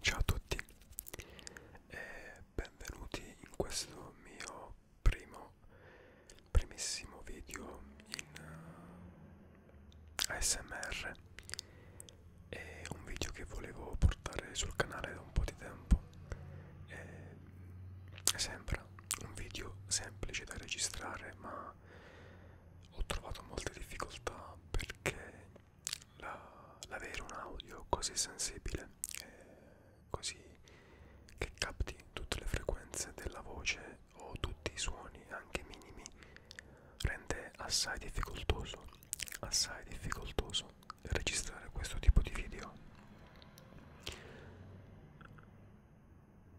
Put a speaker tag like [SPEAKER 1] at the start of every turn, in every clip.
[SPEAKER 1] Ciao a tutti e benvenuti in questo mio primo, primissimo video in uh, eh, ASMR. È un video che volevo portare sul canale da un po' di tempo e sembra un video semplice da registrare ma ho trovato molte difficoltà perché l'avere la, un audio così sensibile così che capti tutte le frequenze della voce o tutti i suoni anche minimi rende assai difficoltoso assai difficoltoso registrare questo tipo di video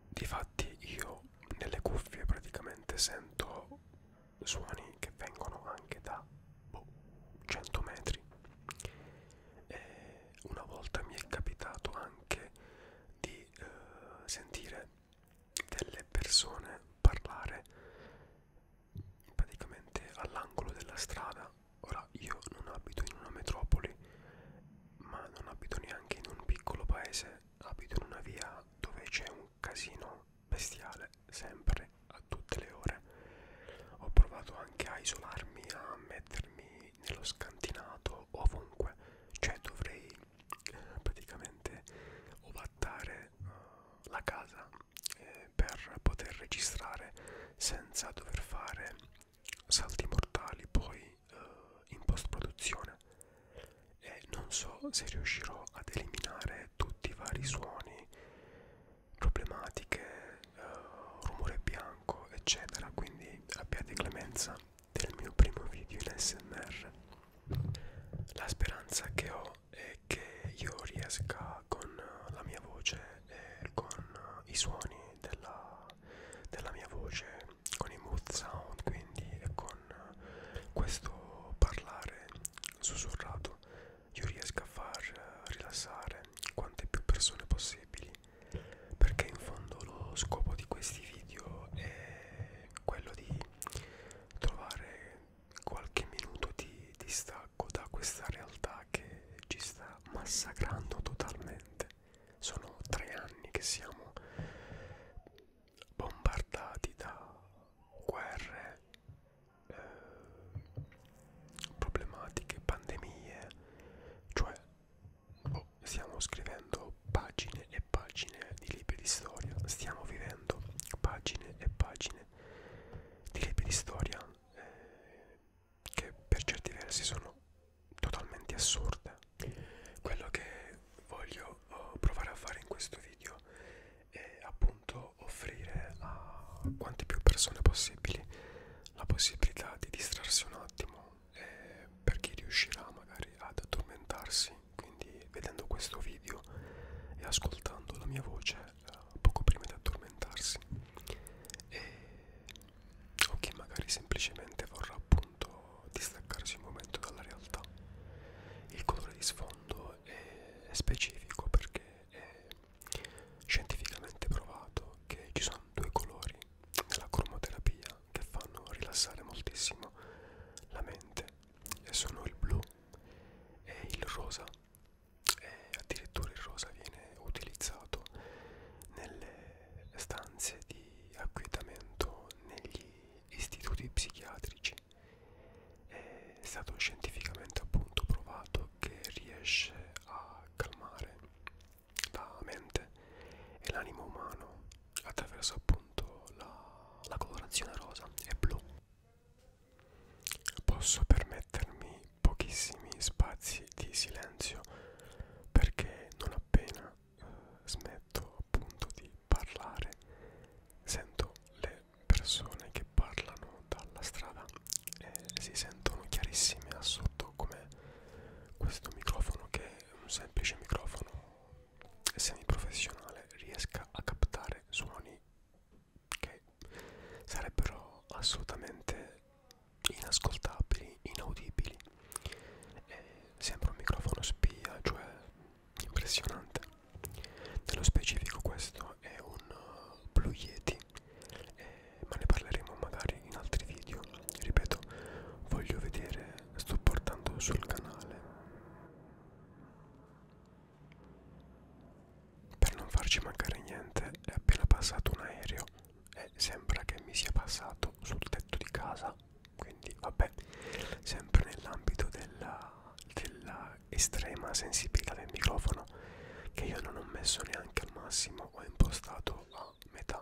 [SPEAKER 1] difatti io nelle cuffie praticamente sento suoni che vengono anche da boh, 100 metri e una volta mi è capitato anche di eh, sentire delle persone parlare praticamente all'angolo della strada ora io non abito in una metropoli ma non abito neanche in un piccolo paese, abito in una via dove c'è un casino bestiale, sempre, a tutte le ore. Ho provato anche a isolarmi, a mettermi nello scantinato, ovunque, cioè dovrei praticamente ovattare uh, la casa eh, per poter registrare senza dover fare salti mortali poi eh, in post produzione e non so se riuscirò ad eliminare tutti i vari suoni problematiche eh, rumore bianco eccetera quindi abbiate clemenza del mio primo video in smr la speranza che ho è che io riesca con la mia voce e con i suoni della della mia voce con i mood sound quindi e con questo parlare sussurrato io riesco a far rilassare quante più persone possibili perché in fondo lo scopo di questi video è quello di trovare qualche minuto di distacco da questa realtà che ci sta massacrando totalmente sono tre anni che siamo bombardati da guerre, eh, problematiche, pandemie, cioè boh, stiamo scrivendo pagine e pagine di libri di storia, stiamo vivendo pagine e pagine di libri di storia eh, che per certi versi sono totalmente assurde quello che voglio uh, provare a fare in questo video è appunto offrire a quante più persone possibili la possibilità di distrarsi un attimo eh, per chi riuscirà magari ad addormentarsi quindi vedendo questo video e ascoltando la mia voce eh, poco prima di addormentarsi e o chi magari semplicemente vorrà appunto distaccarsi un momento dalla realtà. Il colore di sfondo è specifico perché è scientificamente provato che ci sono due colori nella cromoterapia che fanno rilassare moltissimo la mente e sono il blu e il rosa e addirittura il rosa viene utilizzato nelle stanze di di acquietamento negli istituti psichiatrici è stato scientificamente appunto provato che riesce a calmare la mente e l'animo umano attraverso appunto la, la colorazione rosa e blu posso permettermi pochissimi spazi di silenzio perché non appena eh, smetto appunto di parlare sento le persone che parlano dalla strada e si sentono chiarissime a sotto come questo microfono che è un semplice microfono semiprofessionale riesca a captare suoni che sarebbero assolutamente inascoltabili, inaudibili e sembra un microfono spia, cioè impressionante. Nello specifico questo è un uh, Blue Yeti, eh, ma ne parleremo magari in altri video. Ripeto, voglio vedere, sto portando sul canale. Per non farci mancare niente è appena passato un aereo e sembra che mi sia passato sul tetto di casa quindi vabbè sempre nell'ambito della, della estrema sensibilità del microfono che io non ho messo neanche al massimo ho impostato a metà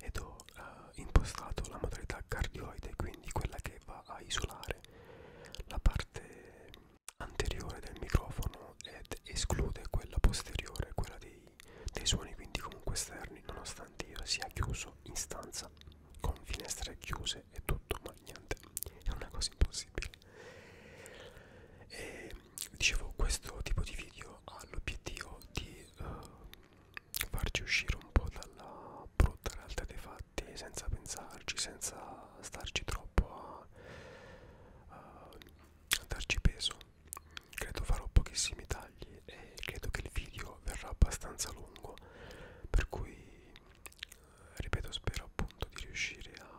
[SPEAKER 1] ed ho uh, impostato la modalità cardioide quindi quella che va a isolare la parte anteriore del microfono ed esclude quella posteriore quella di dei, dei suoni quindi comunque esterni nonostante io sia chiuso in stanza con finestre chiuse e tutto ma niente è una cosa impossibile e dicevo questo tipo di video ha l'obiettivo di uh, farci uscire un po' dalla brutta realtà dei fatti senza pensarci senza starci troppo a, a darci peso credo farò pochissimi tagli e credo che il video verrà abbastanza lungo per cui ripeto spero appunto di riuscire a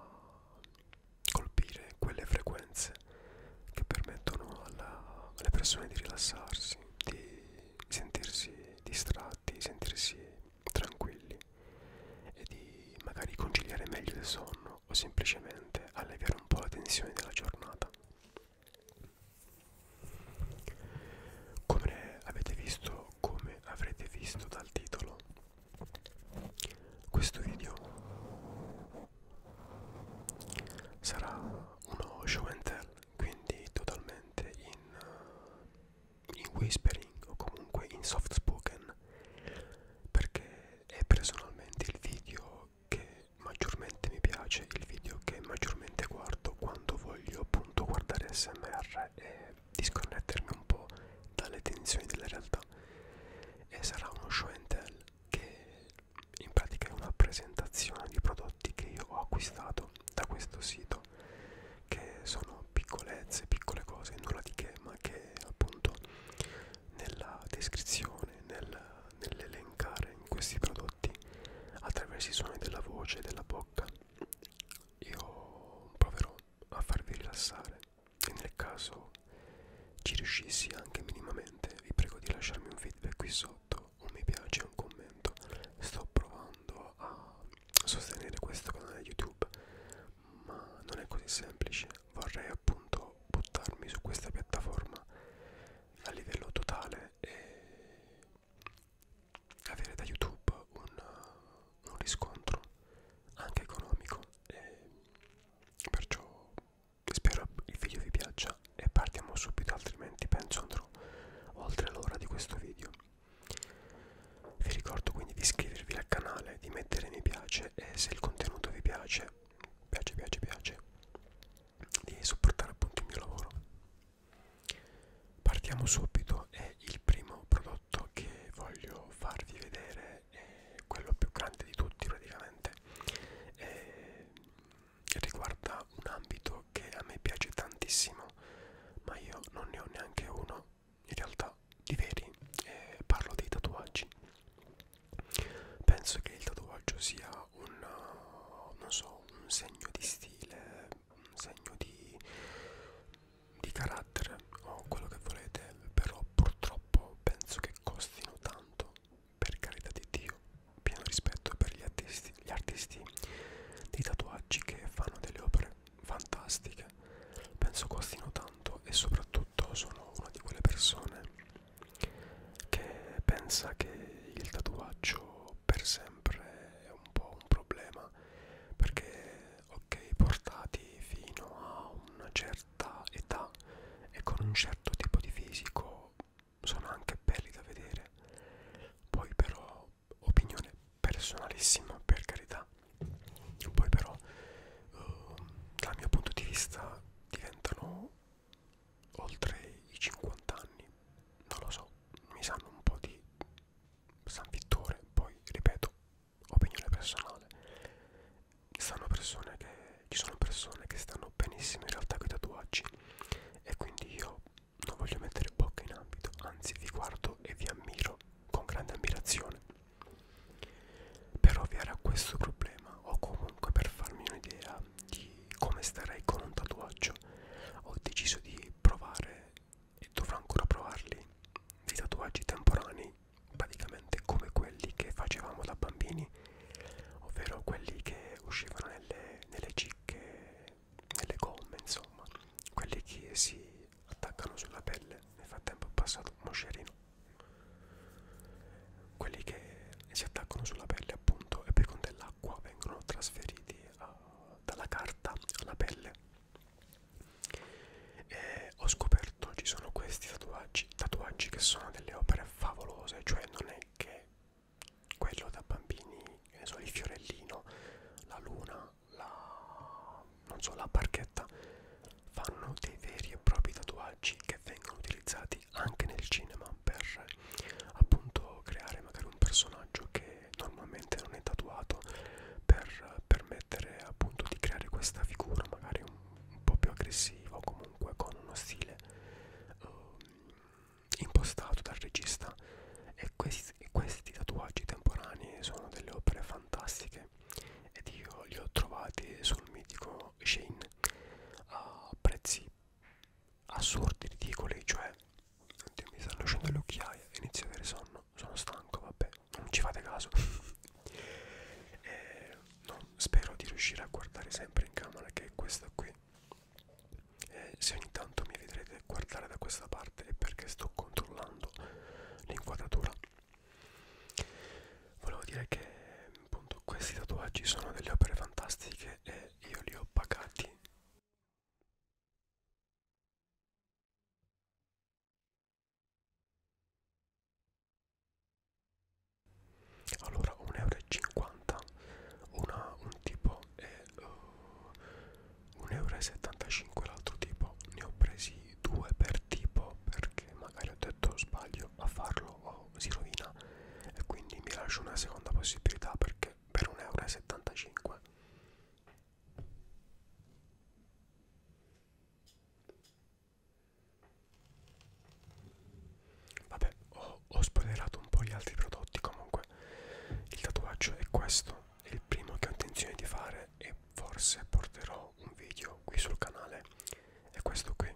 [SPEAKER 1] colpire quelle frequenze che permettono alla, alle persone di rilassarsi di sentirsi distratti sentirsi tranquilli e di magari conciliare meglio il sonno o semplicemente alleviare un po' la tensione della giornata come avete visto, come avrete visto dal titolo, questo video sarà uno show and tell, quindi totalmente in, eh, in whispering o comunque in soft spoken perché è personalmente il video che maggiormente mi piace, il video che maggiormente guardo quando voglio appunto guardare SMR e disconnettermi un po' dalle tensioni della realtà e sarà uno show and tell che in pratica è una presentazione di prodotti che io ho acquistato da questo sito che sono piccolezze, piccole cose, nulla di che ma che appunto nella descrizione, nel, nell'elencare in questi prodotti prodotti attraverso i suoni della voce e della bocca. Io proverò a farvi rilassare e nel caso ci riuscissi anche minimamente vi prego di lasciarmi un feedback qui sotto, un mi piace, un commento. Sto provando a sostenere questo canale YouTube, ma non è così semplice. Vorrei appunto buttarmi su questa piattaforma a livello totale e avere da YouTube un, un riscontro anche economico e perciò spero il video vi piaccia e partiamo subito altrimenti penso andrò oltre l'ora di questo video vi ricordo quindi di iscrivervi al canale di mettere mi piace e se il contenuto vi piace piace piace piace di supportare appunto il mio lavoro partiamo subito e il primo prodotto che voglio farvi vedere è quello più grande di tutti praticamente e riguarda un ambito che a me piace tantissimo ma io non ne ho neanche uno in realtà di veri eh, parlo dei tatuaggi penso che il tatuaggio sia un, uh, non so, un segno di stile, un segno di, di carattere o quello che volete, però purtroppo penso che costino tanto, per carità di Dio, pieno rispetto per gli artisti, gli artisti dei tatuaggi che fanno delle opere fantastiche, penso costino tanto e soprattutto sono una di quelle persone che pensa che il tatuaggio per sempre è un po' un problema perché ok portati fino a una certa età e con un certo tipo di fisico sono anche belli da vedere poi però opinione personalissima per carità poi però uh, dal mio punto di vista diventano oltre i 50 anni, non lo so, mi sanno un po' di San Vittore, poi ripeto, opinione personale. Stanno persone che, ci sono persone che stanno benissimo in realtà con i tatuaggi e quindi io non voglio mettere bocca in ambito, anzi vi guardo e vi ammiro con grande ammirazione. Per ovviare a questo problema o comunque per farmi un'idea di come starei con un tatuaggio ho deciso di provare e dovrò ancora provarli dei tatuaggi temporanei praticamente come quelli che facevamo da bambini ovvero quelli che uscivano nelle, nelle cicche nelle gomme insomma quelli che si attaccano sulla pelle nel frattempo è passato un moscerino quelli che e si attaccano sulla pelle appunto e poi con dell'acqua vengono trasferiti uh, dalla carta alla pelle e ho scoperto ci sono questi tatuaggi, tatuaggi che sono delle opere favolose cioè non è che quello da bambini che ne so il fiorellino la luna la non so la barchetta fanno dei veri e propri tatuaggi che vengono utilizzati utilizzati anche nel cinema per appunto creare magari un personaggio che normalmente non è tatuato per permettere appunto di creare questa figura magari un, un po' più aggressiva o comunque con uno stile uh, impostato dal regista e questi, questi tatuaggi temporanei sono delle opere fantastiche ed io li ho trovati sul mitico Shane a prezzi assurdi, ridicoli, cioè oddio, mi stanno uscendo le occhiaie, inizio a avere sonno, sono stanco, vabbè, non ci fate caso. eh, no, spero di riuscire a guardare sempre in camera che è questa qui. Eh, se ogni tanto mi vedrete guardare da questa parte è perché sto controllando l'inquadratura. Volevo dire che appunto questi tatuaggi sono delle opere fantastiche e io li ho pagati allora 1,50 euro una, un tipo è uh, eh, 1,75 euro l'altro tipo ne ho presi due per tipo perché magari ho detto sbaglio a farlo o si rovina e quindi mi lascio una seconda possibilità perché anche per 1,75 euro. Vabbè, ho, ho spoilerato un po' gli altri prodotti. Comunque, il tatuaggio è questo. È il primo che ho intenzione di fare. E forse porterò un video qui sul canale. È questo qui.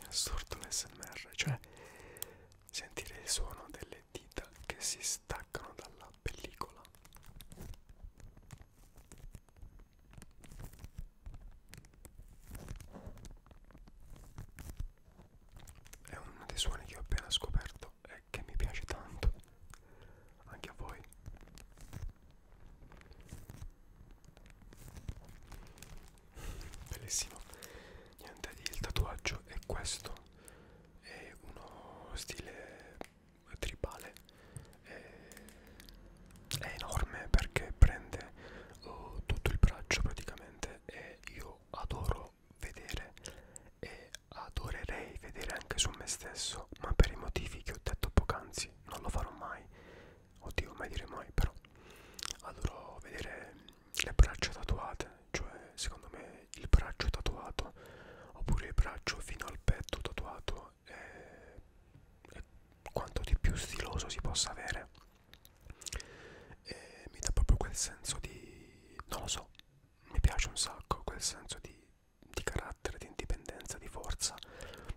[SPEAKER 1] È assurdo l'SMR, cioè sentire il suono delle dita che si staccano dalla pellicola è uno dei suoni che ho appena scoperto e che mi piace tanto, anche a voi. Bellissimo, niente, il tatuaggio è questo, è uno stile tribale, è è enorme perché prende uh, tutto il braccio praticamente e io adoro vedere e adorerei vedere anche su me stesso ma per i motivi che ho detto poc'anzi non lo farò mai oddio mai dire mai però adoro vedere le braccia tatuate cioè secondo me il braccio tatuato oppure il braccio fino al petto tatuato è, è quanto di più stiloso si possa avere e mi dà proprio quel senso di non lo so mi piace un sacco quel senso di, di carattere di indipendenza di forza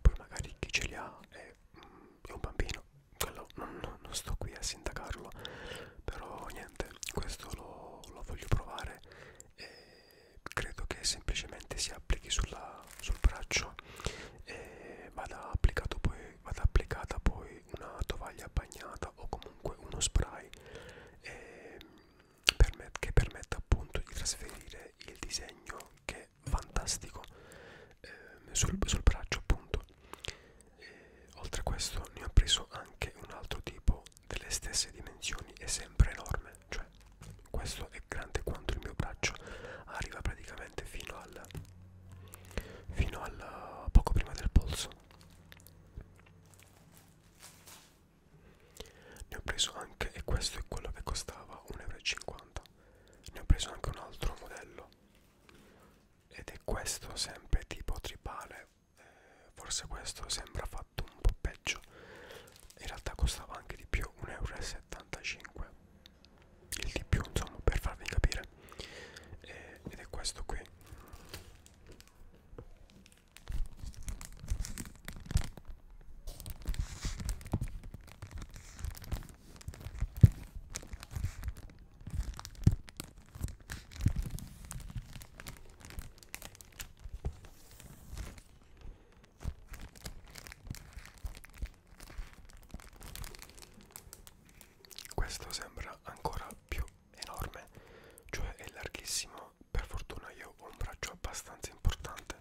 [SPEAKER 1] poi magari chi ce li ha è, mm, è un bambino quello non, non sto qui a sindacarlo però niente questo lo, lo voglio provare e credo che semplicemente si applichi sulla sul braccio e vada, applicato poi, vada applicata poi una tovaglia bagnata o comunque uno spray e ehm, permet che permetta appunto di trasferire il disegno che è fantastico eh, sul, sul braccio appunto e, oltre a questo ne ho preso anche un altro tipo delle stesse dimensioni e sempre enorme cioè questo è grande quanto il mio braccio arriva praticamente fino al fino al poco prima del polso ne ho preso anche e questo è quello che costava 1,50 euro ne ho preso anche un altro modello ed è questo sempre tipo tribale eh, forse questo sembra fatto un po' peggio in realtà costava anche di più 1,70 euro 75 il di più insomma per farvi capire e, ed è questo qui questo sembra ancora più enorme, cioè è larghissimo. Per fortuna io ho un braccio abbastanza importante,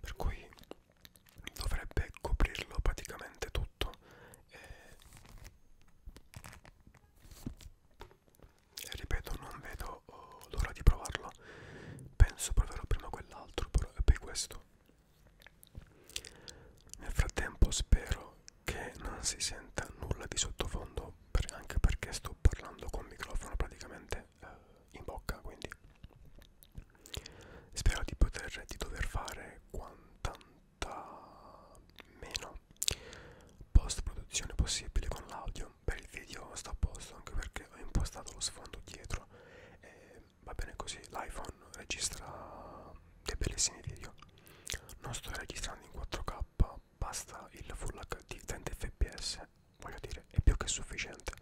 [SPEAKER 1] per cui dovrebbe coprirlo praticamente tutto. E... E ripeto, non vedo oh, l'ora di provarlo. Penso proverò prima quell'altro, però e poi questo. Nel frattempo spero che non si senta nulla di sottofondo, per, anche perché sto parlando con il microfono praticamente eh, in bocca, quindi spero di poter, di dover fare quantanta meno post produzione possibile con l'audio. Per il video sta a posto anche perché ho impostato lo sfondo dietro e va bene così l'iPhone registra dei bellissimi video non sto registrando in 4k basta il full hd 30 fps voglio dire è più che sufficiente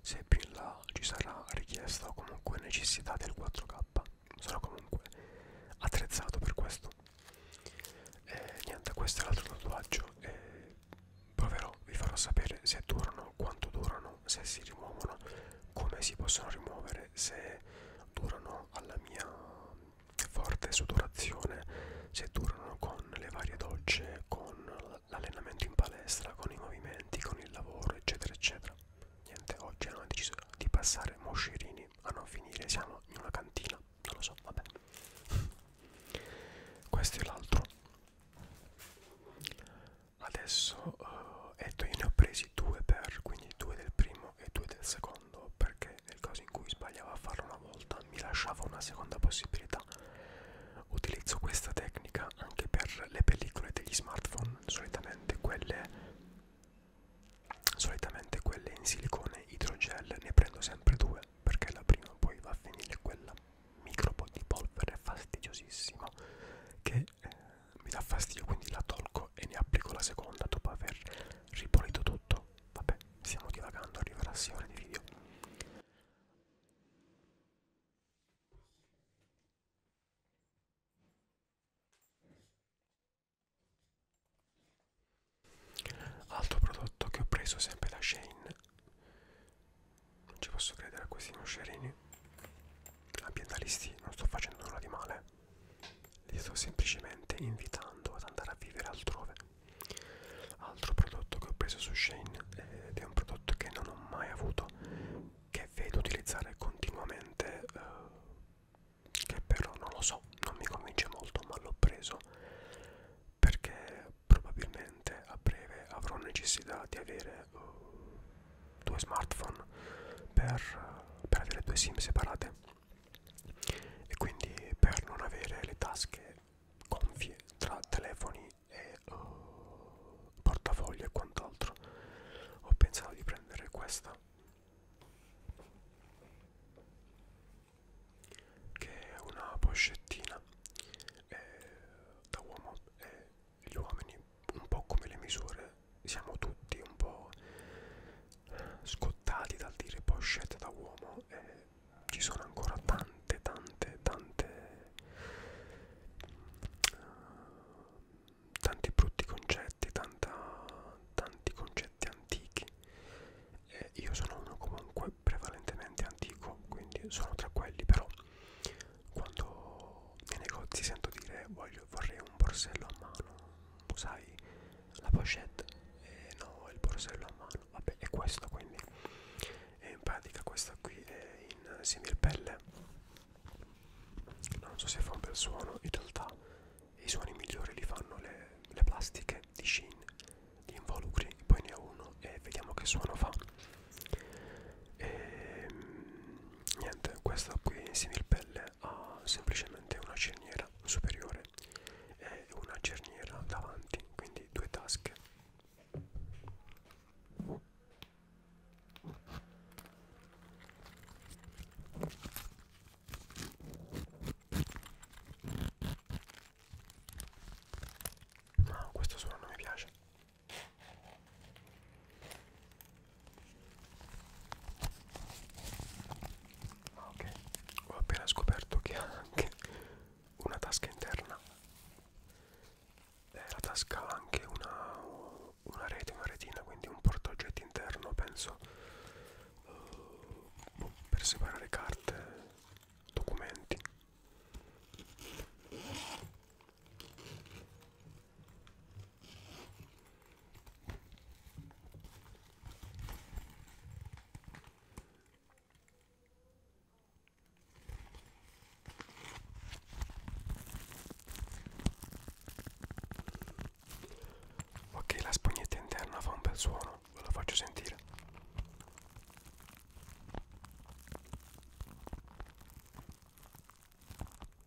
[SPEAKER 1] se più in là ci sarà richiesta o comunque necessità del 4k sono comunque attrezzato per questo e niente questo è l'altro tatuaggio e proverò vi farò sapere se durano quanto durano rimuovono, se si rimuovono, come si possono rimuovere, se durano alla mia forte sudorazione, se durano con le varie docce, con l'allenamento in palestra, con i movimenti, con il lavoro, eccetera, eccetera. Niente, oggi hanno deciso di passare moscerini a non finire, siamo in una cantina, non lo so, vabbè. Questo è l'altro adesso uh, eh, etto io ne ho presi due per quindi due del primo e due del secondo perché nel caso in cui sbagliavo a farlo una volta mi lasciava una seconda possibilità utilizzo questa tecnica anche per le pellicole degli smartphone solitamente quelle solitamente quelle in silicone idrogel ne prendo sempre due perché la prima poi va a finire quella micro po' di polvere fastidiosissima che e eh, mi dà fastidio quindi la tolgo e ne applico la seconda dopo aver ripulito tutto vabbè stiamo divagando arriverà 6 ore di video altro prodotto che ho preso sempre da Shane non ci posso credere a questi moscerini. Ambientalisti, non sto facendo nulla di male. Li sto semplicemente invitando ad andare a vivere altrove. Altro prodotto che ho preso su Shane ed è un prodotto che non ho mai avuto, che vedo utilizzare continuamente, eh, che però non lo so, non mi convince molto, ma l'ho preso perché probabilmente a breve avrò necessità di avere eh, due smartphone per, per avere due sim separate e quindi per non avere le tasche gonfie tra telefoni e uh, eh, portafogli e quant'altro ho pensato di prendere questa che è una pochettina eh, da uomo e eh, gli uomini, un po' come le misure, siamo tutti un po' scottati dal dire pochette da uomo e ci sono ancora tante, tante, tante uh, tanti brutti concetti, tanta, tanti concetti antichi e io sono uno comunque prevalentemente antico, quindi sono tra quelli però quando nei negozi sento dire voglio, vorrei un borsello a mano, sai la pochette eh, no il borsello a mano, vabbè è questo quindi e in pratica questa qui è in similpelle non so se fa un bel suono, in realtà i suoni migliori li fanno le, le plastiche di Shin, gli involucri, poi ne ho uno e vediamo che suono fa e ehm, niente questa qui similpelle ha semplicemente una cerniera superiore e una cerniera davanti quindi due tasche No, questo suono non mi piace Ok, ho appena scoperto che ha anche una tasca interna. Eh, la tasca ha anche una, una rete, una retina, quindi un portaoggetti interno, penso, uh, per separare carte, documenti. Ok, la spugnetta interna fa un bel suono, ve lo faccio sentire.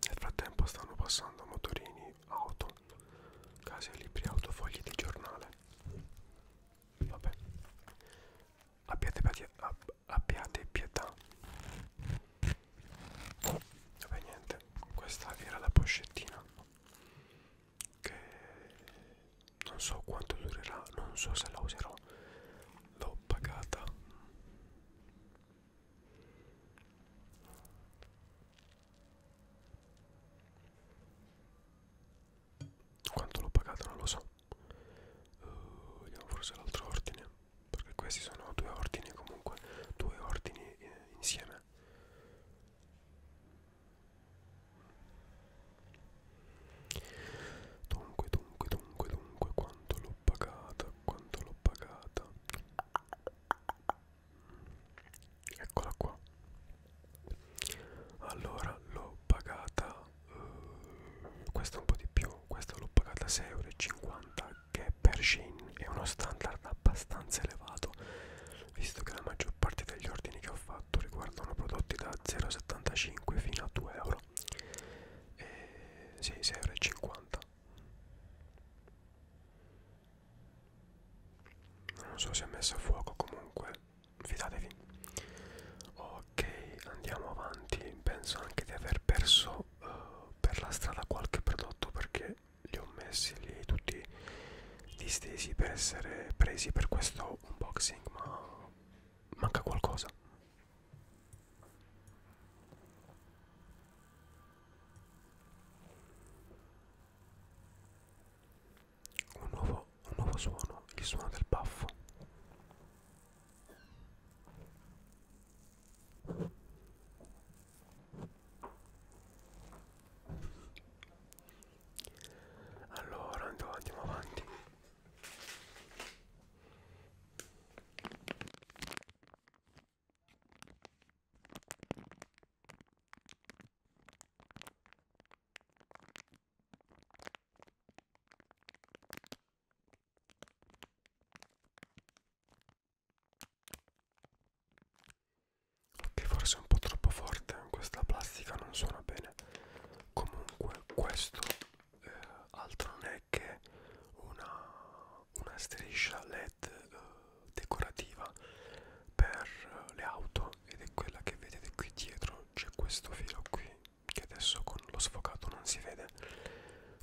[SPEAKER 1] Nel frattempo stanno passando motorini, auto, case, libri, auto, fogli di giornale. Vabbè. Abbiate, ab, abbiate pietà. Vabbè niente, questa era la poscettina che non so quanto durerà, non so se la userò. L'ho pagata. Quanto l'ho pagata non lo so. Uh, vediamo forse l'altro ordine. Perché questi sono due ordini comunque, due ordini eh, insieme. Dunque, dunque, dunque, dunque, quanto l'ho pagata, quanto l'ho pagata. Eccola qua. Allora, l'ho pagata, eh, questa un po' di più, questa l'ho pagata 6,50 euro, che per Shein è uno standard abbastanza elevato, visto che la maggior parte degli ordini che ho fatto fatto riguardano prodotti da 0,75 fino a 2 euro e sì, 6,50 euro non so se è messo a fuoco comunque fidatevi ok andiamo avanti penso anche di aver perso uh, per la strada qualche prodotto perché li ho messi lì tutti distesi per essere presi per questo unboxing ma manca qualcosa. Un nuovo, un nuovo suono, il suono del baffo. Allora andiamo avanti. Che forse è un po' troppo forte, questa plastica non suona bene comunque questo eh, altro non è che una, una striscia led eh, decorativa per le auto ed è quella che vedete qui dietro c'è questo filo qui che adesso con lo sfocato non si vede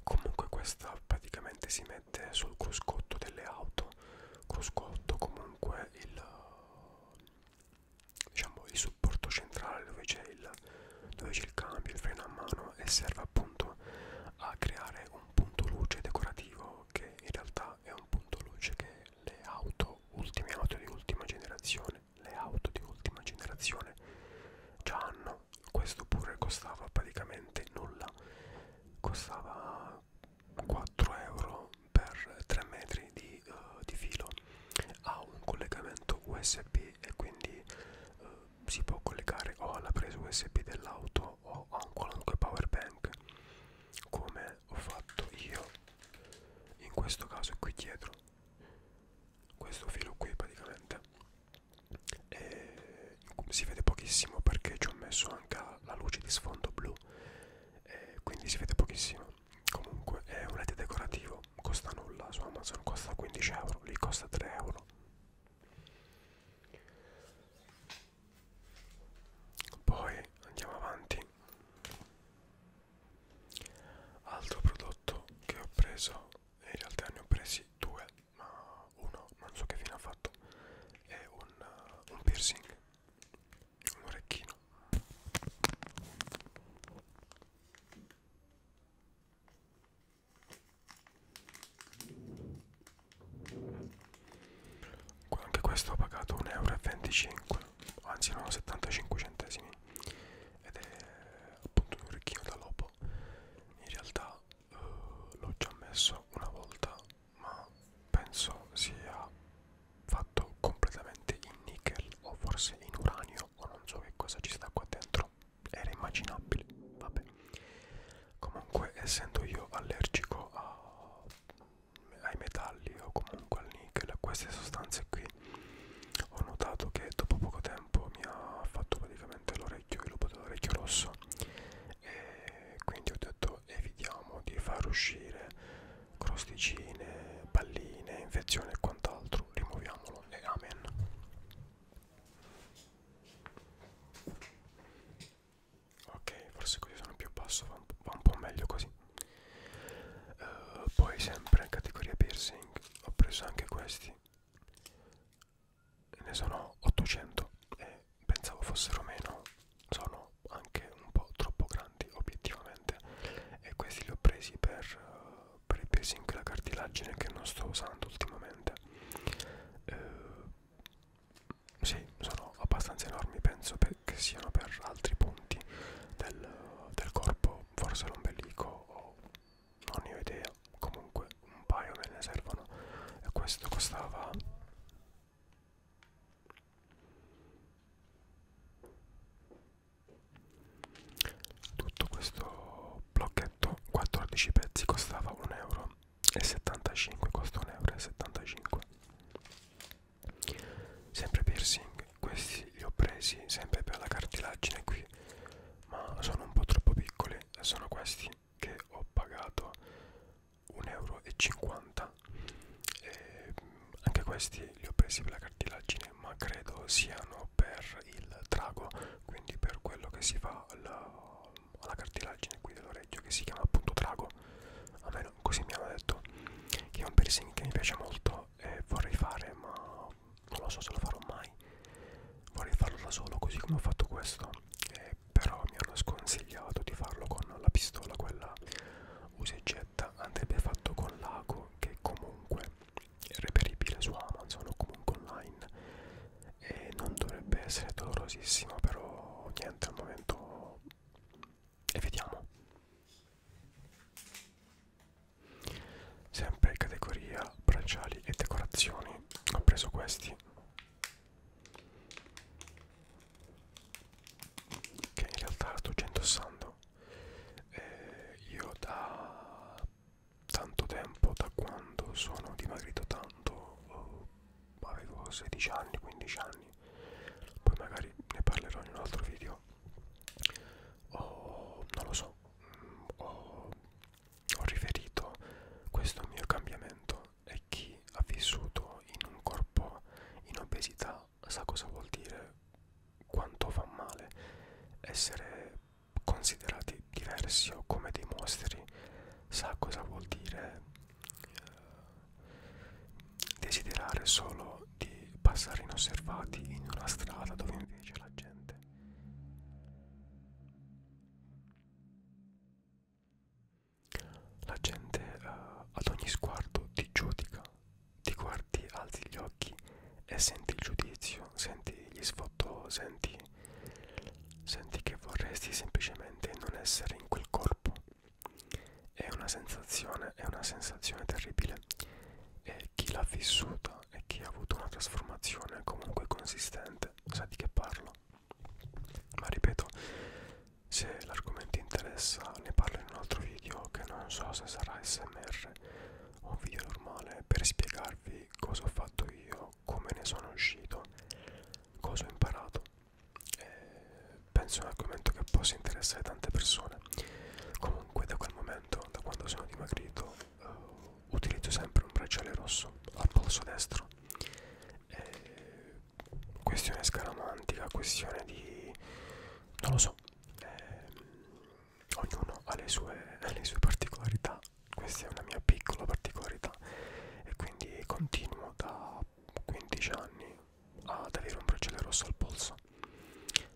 [SPEAKER 1] comunque questa praticamente si mette sul cruscotto delle auto cruscotto comunque il diciamo il supporto centrale dove c'è il, il cambio, il freno a mano e serve appunto a creare un punto luce decorativo che in realtà è un punto luce che le auto, ultime auto di ultima generazione, le auto di ultima generazione già hanno, questo pure costava praticamente nulla, costava 4 euro per 3 metri di, uh, di filo ha un collegamento usb e quindi uh, si può collegare o alla presa usb dell'auto o a un qualunque power bank come ho fatto io in questo caso qui dietro questo filo qui praticamente e si vede pochissimo perché ci ho messo anche la luce di sfondo blu e quindi si vede pochissimo comunque è un led decorativo costa nulla su Amazon costa 15 euro lì costa 3 euro poi andiamo avanti altro prodotto che ho preso e in realtà ne ho presi due ma uno non so che fine ha fatto è un, uh, un piercing un orecchino anche questo ho pagato 1,25 euro anzi no 75 centesimi ed è appunto un orecchino da lobo in realtà eh, l'ho già messo una volta ma penso sia fatto completamente in nickel o forse in uranio o non so che cosa ci sta qua dentro era immaginabile vabbè comunque essendo io allergico a, ai metalli o comunque al nickel a queste sostanze qui ho notato che dopo poco tempo mi ha fatto praticamente l'orecchio il lupo dell'orecchio rosso e quindi ho detto evitiamo di far uscire crosticine, palline, infezioni e quant'altro. Rimuoviamolo e amen. Ok, forse così sono più basso, va un po', va un po meglio così. Uh, poi sempre in categoria piercing ho preso anche questi. Ne sono 800 e pensavo fossero meno, sono anche un po' troppo grandi obiettivamente ovviamente e questi li ho presi per, per il piercing e la cartilagine che non sto usando ultimamente eh, sì sono abbastanza enormi penso che siano per altri punti del, del corpo forse l'ombelico o non ne ho idea comunque un paio me ne servono e questo costava tutto questo blocchetto 14 pezzi costava 1,75 euro costa 1,75 euro sempre piercing questi li ho presi sempre per la cartilagine qui ma sono un po' troppo piccoli e sono questi che ho pagato 1,50 euro e anche questi li ho presi per la cartilagine ma credo siano per il trago quindi per quello che si fa alla, alla cartilagine qui dell'orecchio che si chiama appunto trago almeno così mi hanno detto che è un piercing che mi piace molto e vorrei fare ma non lo so se lo farò mai vorrei farlo da solo così come ho fatto questo eh, però mi hanno sconsigliato di farlo con la pistola quella usa e getta andrebbe fatto con l'ago che comunque reperibile su Amazon o comunque online e non dovrebbe essere dolorosissimo però niente al momento e vediamo sempre categoria bracciali e decorazioni ho preso questi che in realtà sto già indossando eh, io da tanto tempo da quando sono dimagrito tanto oh, avevo 16 anni 15 anni poi magari ne parlerò in un altro video oh, non lo so ho, ho riferito questo mio cambiamento e chi ha vissuto in un corpo in obesità ma sa cosa vuol dire quanto fa male essere considerati diversi o come dei mostri, sa cosa vuol dire eh, desiderare solo di passare inosservati in una strada dove invece la gente la gente eh, ad ogni sguardo ti giudica ti guardi, alzi gli occhi e senti il giudizio, senti gli sfottò, senti, senti che vorresti semplicemente non essere in quel corpo. È una sensazione, è una sensazione terribile e chi l'ha vissuta e chi ha avuto una trasformazione comunque consistente sa di che parlo. Ma ripeto, se l'argomento interessa ne parlo in un altro video che non so se sarà SMR un oh, video normale per spiegarvi cosa ho fatto io, come ne sono uscito, cosa ho imparato. E eh, penso è un argomento che possa interessare tante persone. Comunque da quel momento, da quando sono dimagrito, uh, utilizzo sempre un bracciale rosso al polso destro. E eh, questione scaramantica, questione di... non lo so. Eh, ognuno ha le sue, ha le sue particolarità, questa è una mia piccola particolarità e quindi continuo da 15 anni ad avere un bracciale rosso al polso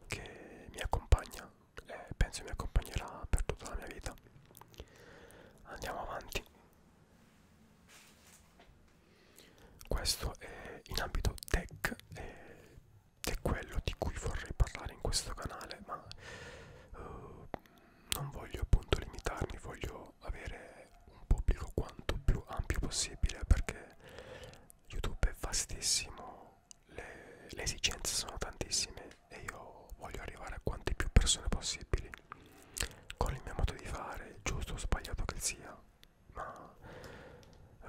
[SPEAKER 1] che mi accompagna e penso mi accompagnerà per tutta la mia vita. Andiamo avanti. Questo è in ambito tech e è quello di cui vorrei parlare in questo canale, ma uh, non voglio appunto limitarmi, voglio avere un pubblico quanto più ampio possibile perché YouTube è vastissimo, le, le esigenze sono tantissime e io voglio arrivare a quante più persone possibili con il mio modo di fare, giusto o sbagliato che sia, ma uh,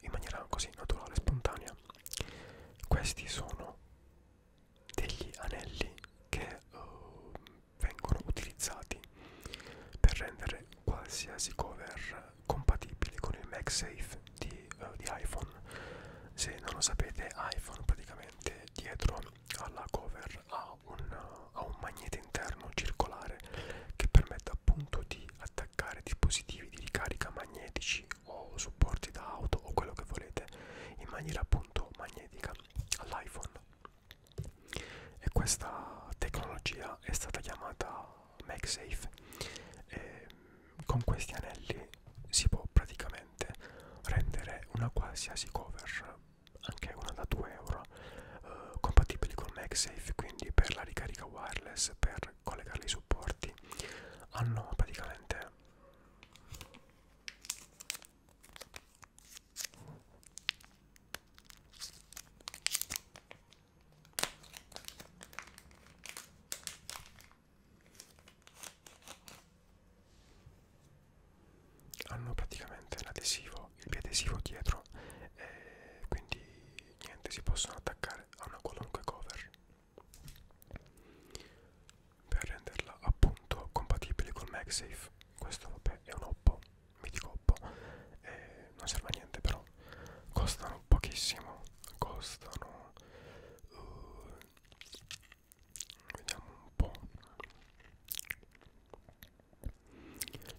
[SPEAKER 1] in maniera così naturale, spontanea. Questi sono degli anelli che uh, vengono utilizzati per rendere qualsiasi cover compatibile con il MagSafe di, uh, di iPhone. Se non lo sapete, iPhone praticamente dietro alla cover ha un, uh, ha un magnete interno circolare che permette appunto di attaccare attaccare dispositivi di ricarica magnetici o supporti da auto o quello che volete in maniera appunto magnetica all'iPhone e questa tecnologia è stata chiamata MagSafe e con questi anelli si può praticamente rendere una qualsiasi cover anche una da 2 euro eh, compatibili con MagSafe quindi per la ricarica wireless per per collegarli ai supporti hanno ah praticamente hanno praticamente l'adesivo, il biadesivo dietro e quindi niente si possono attaccare a una qualunque cover per renderla appunto compatibile col MagSafe questo vabbè è un Oppo mitico Oppo eh, non serve a niente però costano pochissimo costano uh, vediamo un po'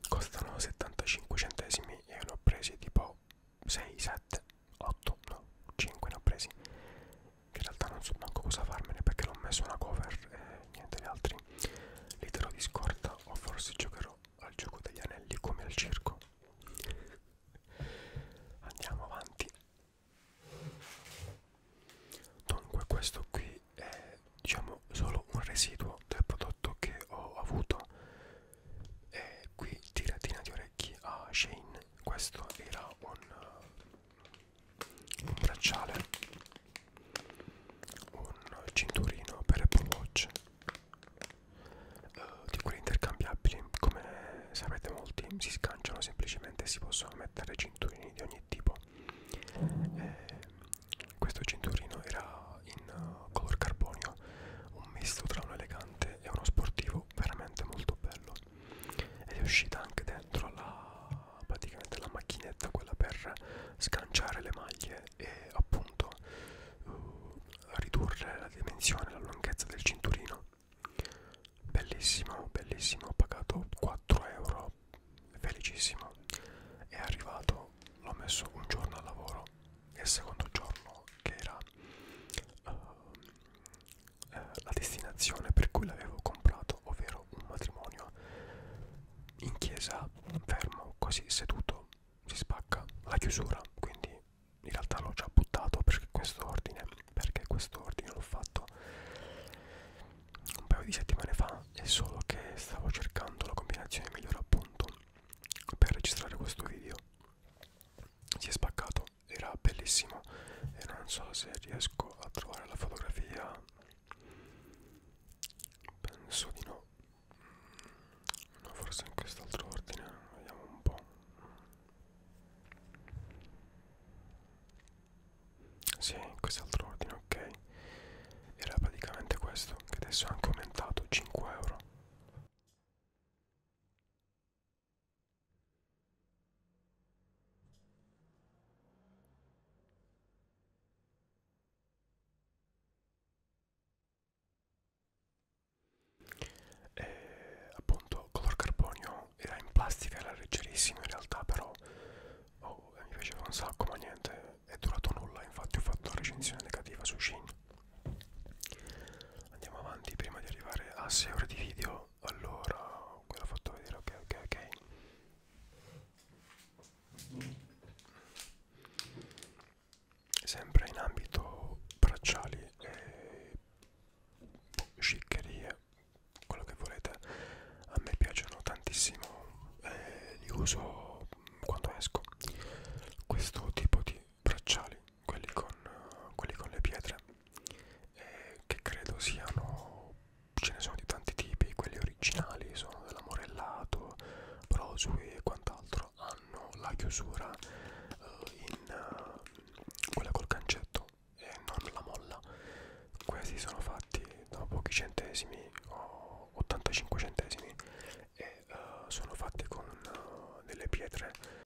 [SPEAKER 1] costano 75 centesimi e ne ho presi tipo 6, 7, 8, no, 5 ne ho presi che in realtà non so manco cosa farmene perché l'ho messo una cover e niente gli altri li terrò di scorta o forse giocherò al gioco degli anelli come al circo andiamo avanti dunque questo qui è diciamo solo un residuo del prodotto che ho avuto e qui tiratina di orecchi a Shane. Questo era un, un bracciale, un cinturino per Apple Watch. Uh, di quelli intercambiabili, come sapete molti si scanciano semplicemente e si possono mettere cinturini di ogni tipo. E eh, questo cinturino era in color carbonio un misto tra un elegante e uno sportivo veramente molto bello ed è uscita anche dentro la praticamente la macchinetta quella per scanciare le maglie e appunto uh, ridurre la dimensione la lunghezza del cinturino bellissimo bellissimo ho pagato 4 euro felicissimo è arrivato l'ho messo un giorno al lavoro e il secondo giorno che era uh, uh, la destinazione per cui l'avevo comprato, ovvero un matrimonio in chiesa, fermo, così seduto, si spacca la chiusura, quindi in realtà l'ho già buttato perché questo ordine, perché questo ordine l'ho fatto un paio di settimane fa, è solo che stavo cercando la combinazione migliore appunto per registrare questo video si è spaccato era bellissimo e non so se riesco a trovare la fotografia penso di no mm, no forse in quest'altro ordine vediamo un po' si sì, in quest'altro ordine ok era praticamente questo che adesso è anche aumentato 5 euro e, eh, appunto color carbonio era in plastica era leggerissimo in realtà però oh, mi piaceva un sacco ma niente è durato nulla infatti ho fatto la recensione negativa su Shin andiamo avanti prima di arrivare a 6 ore di video allora quello ho fatto vedere ok ok ok sempre in ambito bracciali e sciccherie quello che volete a me piacciono tantissimo e eh, li uso quando esco questo tipo di bracciali, quelli con, quelli con le pietre, eh, che credo siano, ce ne sono di tanti tipi, quelli originali sono dell'amorellato, prosui e quant'altro, hanno la chiusura eh, in eh, quella col cancetto e non la molla. Questi sono fatti da pochi centesimi o 85 centesimi e eh, sono fatti con eh, delle pietre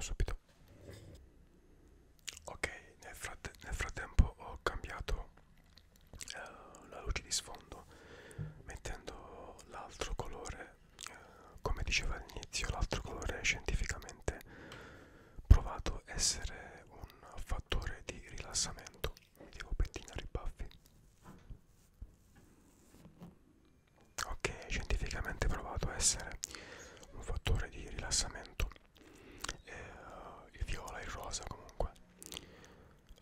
[SPEAKER 1] subito ok nel, frate nel frattempo ho cambiato eh, la luce di sfondo mettendo l'altro colore eh, come dicevo all'inizio l'altro colore scientificamente provato essere un fattore di rilassamento mi devo pettinare i baffi ok, scientificamente provato a essere un fattore di rilassamento. E, uh, il viola, il rosa comunque.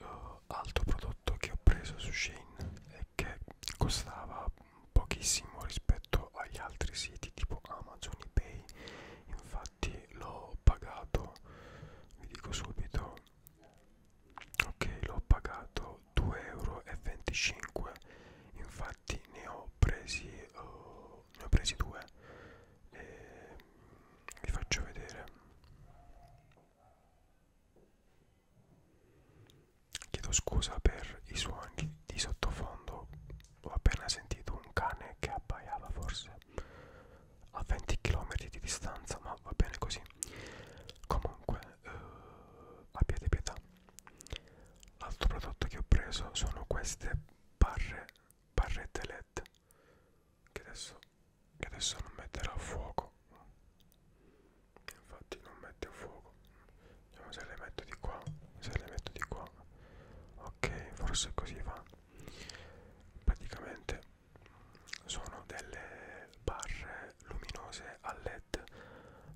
[SPEAKER 1] Uh, altro prodotto che ho preso su Shane e che costava pochissimo rispetto agli altri siti tipo Amazon, eBay. Infatti l'ho pagato, vi dico subito, ok, l'ho pagato costato 2,25 euro infatti ne ho presi oh, ne ho presi due e mm, vi faccio vedere chiedo scusa per i suoni di sottofondo ho appena sentito un cane che abbaiava forse a 20 km di distanza ma va bene così comunque eh, abbiate pietà L'altro prodotto che ho preso sono queste barre, barrette LED che adesso, che adesso non metterò a fuoco. Infatti non mette a fuoco. Vediamo se le metto di qua, se le metto di qua. Ok, forse così va. Praticamente sono delle barre luminose a LED led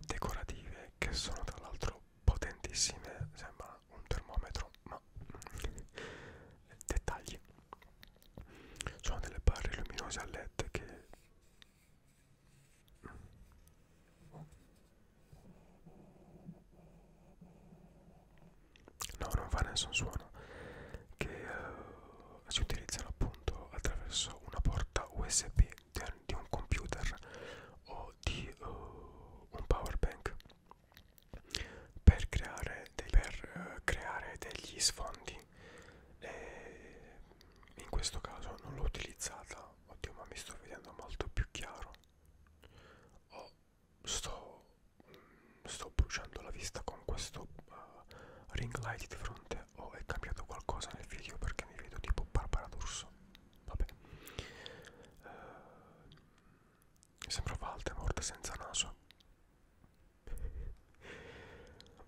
[SPEAKER 1] decorative che sono tra l'altro potentissime sembra un termometro ma dettagli sono delle barre luminose a led che No, non fa nessun suono che uh, si utilizzano appunto attraverso una porta USB del di un computer o di uh, un power bank per creare, dei, per, uh, creare degli sfondi e in questo caso non l'ho utilizzata oddio ma mi sto vedendo molto più chiaro oh, sto, mm, sto bruciando la vista con questo uh, ring light di fronte o oh, è cambiato qualcosa nel video perché mi vedo tipo Barbara D'Urso Vabbè. Eh, sembra Voldemort senza naso.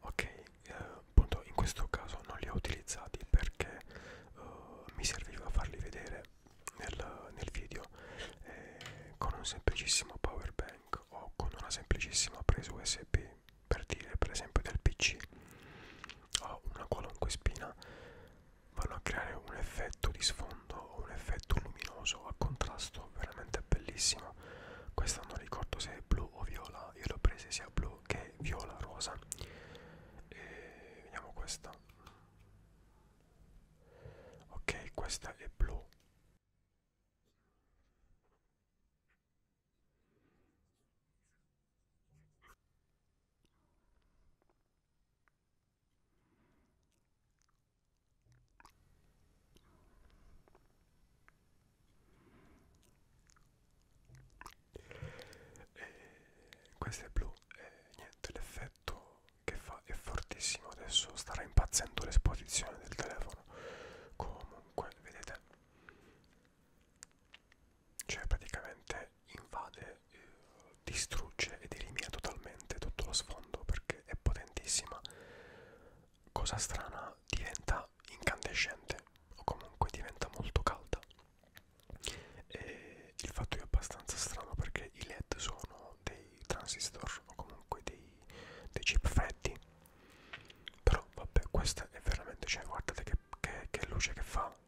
[SPEAKER 1] ok, eh, appunto in questo caso non li ho utilizzati perché eh, mi serviva farli vedere nel, nel video eh, con un semplicissimo power bank o con una semplicissima presa USB per dire per esempio del pc o una qualunque spina vanno a creare un effetto di sfondo o un effetto luminoso a contrasto veramente bellissimo questa non ricordo se è blu o viola io l'ho presa sia blu che viola rosa e vediamo questa ok questa è blu e eh, questo è blu e eh, niente l'effetto che fa è fortissimo adesso starà impazzendo l'esposizione del telefono comunque vedete cioè praticamente invade, eh, distrugge ed elimina totalmente tutto lo sfondo perché è potentissima. Cosa strana, diventa incandescente o comunque diventa molto calda. E il fatto è abbastanza strano perché i LED sono dei transistor o comunque dei, dei chip freddi. Però vabbè, questa è veramente, cioè guardate che, che, che luce che fa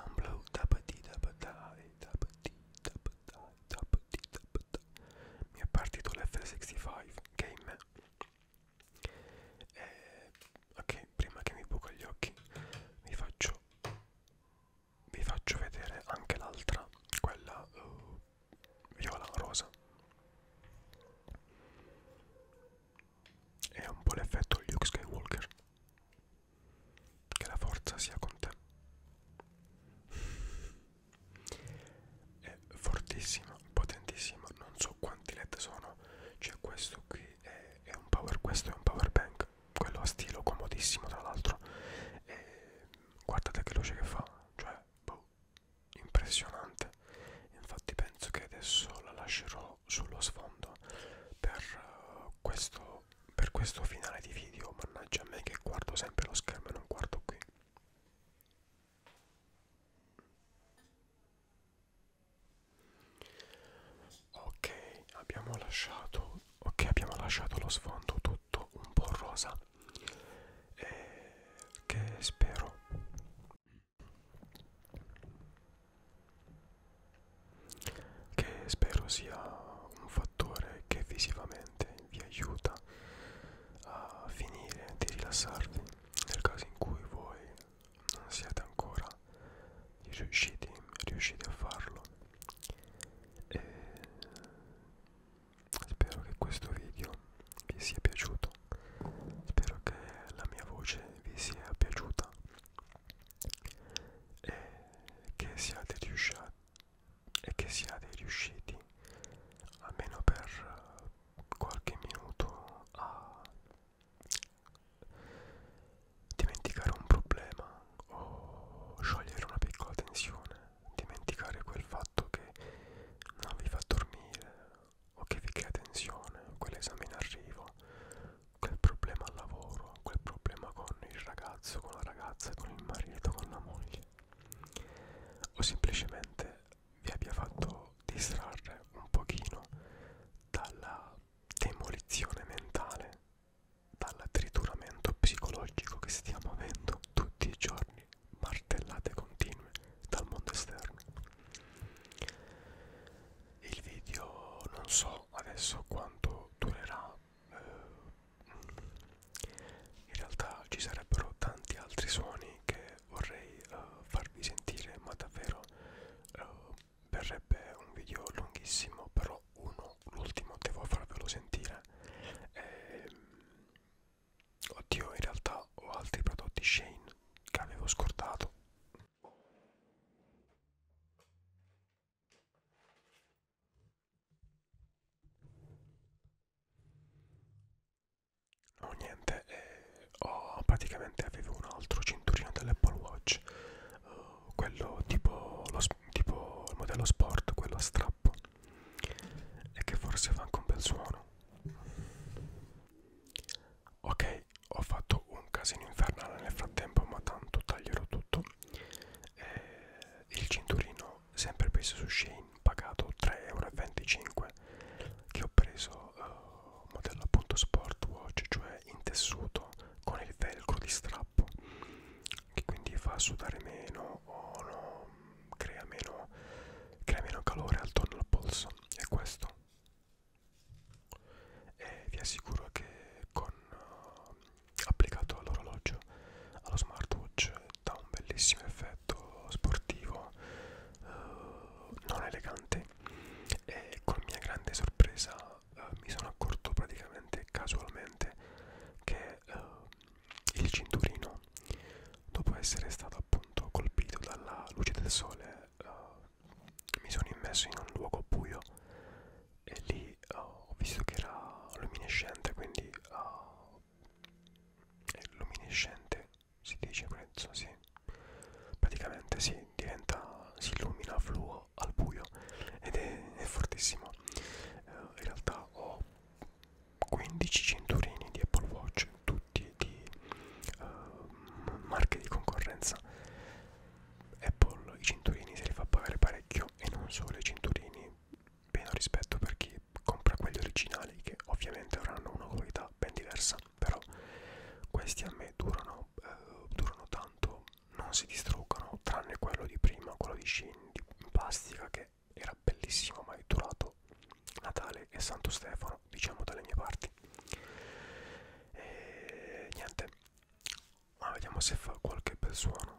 [SPEAKER 1] un blu tapati tapatai tapati tapatai tapati tapatai mi è partito l'F65 game e, eh, ok prima che mi buco gli occhi vi faccio vi faccio vedere anche l'altra quella uh, viola rosa è un po' l'effetto Luke Skywalker che la forza sia con te è fortissima potentissima non so quanti led sono c'è cioè questo qui è, è un power questo è un power bank quello a stilo comodissimo tra l'altro guardate che luce che fa cioè boh, impressionante infatti penso che adesso la lascerò sullo sfondo per uh, questo per questo finale di video mannaggia a me che guardo sempre lo schermo e non guardo qui ok abbiamo lasciato ok abbiamo lasciato lo sfondo tutto un po' rosa e eh, che spero che spero sia un fattore che visivamente vi aiuta a finire di rilassarvi nel caso in cui voi non siete ancora riusciti, riusciti a farlo e spero che questo video vi sia piaciuto spero che la mia voce vi sia piaciuta e che siate riusciti e che siate riusciti almeno per qualche minuto a dimenticare un problema o sciogliere una piccola tensione dimenticare quel fatto che non vi fa dormire o oh, che vi crea tensione, quell'esame in arrivo, quel problema al lavoro, quel problema con il ragazzo, con la ragazza, con il marito, con la moglie, o semplicemente vi abbia fatto distrarre un pochino dalla demolizione mentale, dal trituramento psicologico che stiamo avendo tutti i giorni, martellate continue dal mondo esterno il video non so adesso quanto durerà eh, in realtà ci sarebbero tanti altri suoni che vorrei uh, farvi sentire ma davvero uh, verrebbe un video lunghissimo però uno l'ultimo devo farvelo sentire e, ehm, oddio in realtà ho altri prodotti Shane che avevo scordato No niente, eh, oh, praticamente avevo un altro cinturino dell'Apple Watch, uh, quello tipo, lo, tipo il modello sport, quello a strappo, e che forse fa anche un bel suono. Ok, ho fatto un casino infernale nel frattempo ma tanto taglierò tutto eh, il cinturino sempre preso su Shane pagato 3,25€ che ho preso uh, modello appunto sportwatch cioè in tessuto con il velcro di strappo che quindi fa sudare meno o no, crea meno crea meno calore al torno al polso e questo e vi assicuro che con uh, applicato all'orologio allo smartwatch dà un bellissimo effetto sportivo uh, non elegante e con mia grande sorpresa uh, mi sono accorto praticamente casualmente che uh, il cinturino dopo essere stato appunto colpito dalla luce del sole uh, mi sono immerso in un luogo buio e lì uh, ho visto che era luminescente, quindi uh, è luminescente, si dice prezzo, sì. Praticamente si diventa, si illumina fluo al buio ed è, è fortissimo. Uh, in realtà ho 15 cinturini di Apple Watch, tutti di uh, marche di concorrenza Apple i cinturini se li fa pagare parecchio e non solo i cinturini meno rispetto per chi compra quelli originali che ovviamente avranno una qualità ben diversa però questi a me durano, eh, durano tanto non si distruggono tranne quello di prima quello di Shin di plastica che era bellissimo ma è durato Natale e Santo Stefano diciamo dalle mie parti e niente ma vediamo se fa qualche bel suono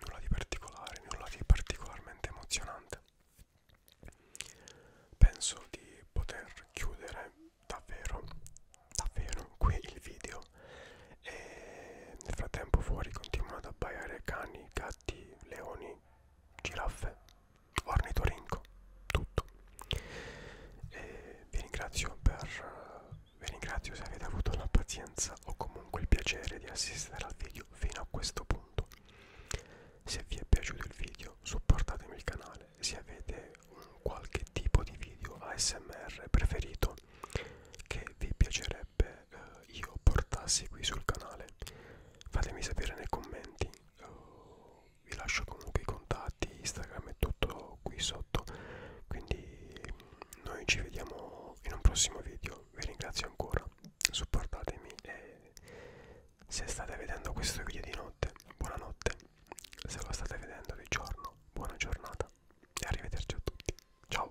[SPEAKER 1] Nulla di particolare, nulla di particolarmente emozionante. Penso di poter chiudere davvero, davvero qui il video. E nel frattempo fuori continuano ad abbaiare cani, gatti, leoni, giraffe ornitorinco, tutto. E vi ringrazio per vi ringrazio se avete avuto la pazienza o comunque il piacere di assistere al video fino a questo punto. Se vi è piaciuto il video supportatemi il canale, se avete un qualche tipo di video ASMR preferito che vi piacerebbe eh, io portassi qui sul canale, fatemi sapere nei commenti eh, vi lascio comunque i contatti Instagram e tutto qui sotto quindi noi ci vediamo in un prossimo video vi ringrazio ancora supportatemi e se state vedendo questo video di notte buonanotte se lo state vedendo di giorno buona giornata e arrivederci a tutti ciao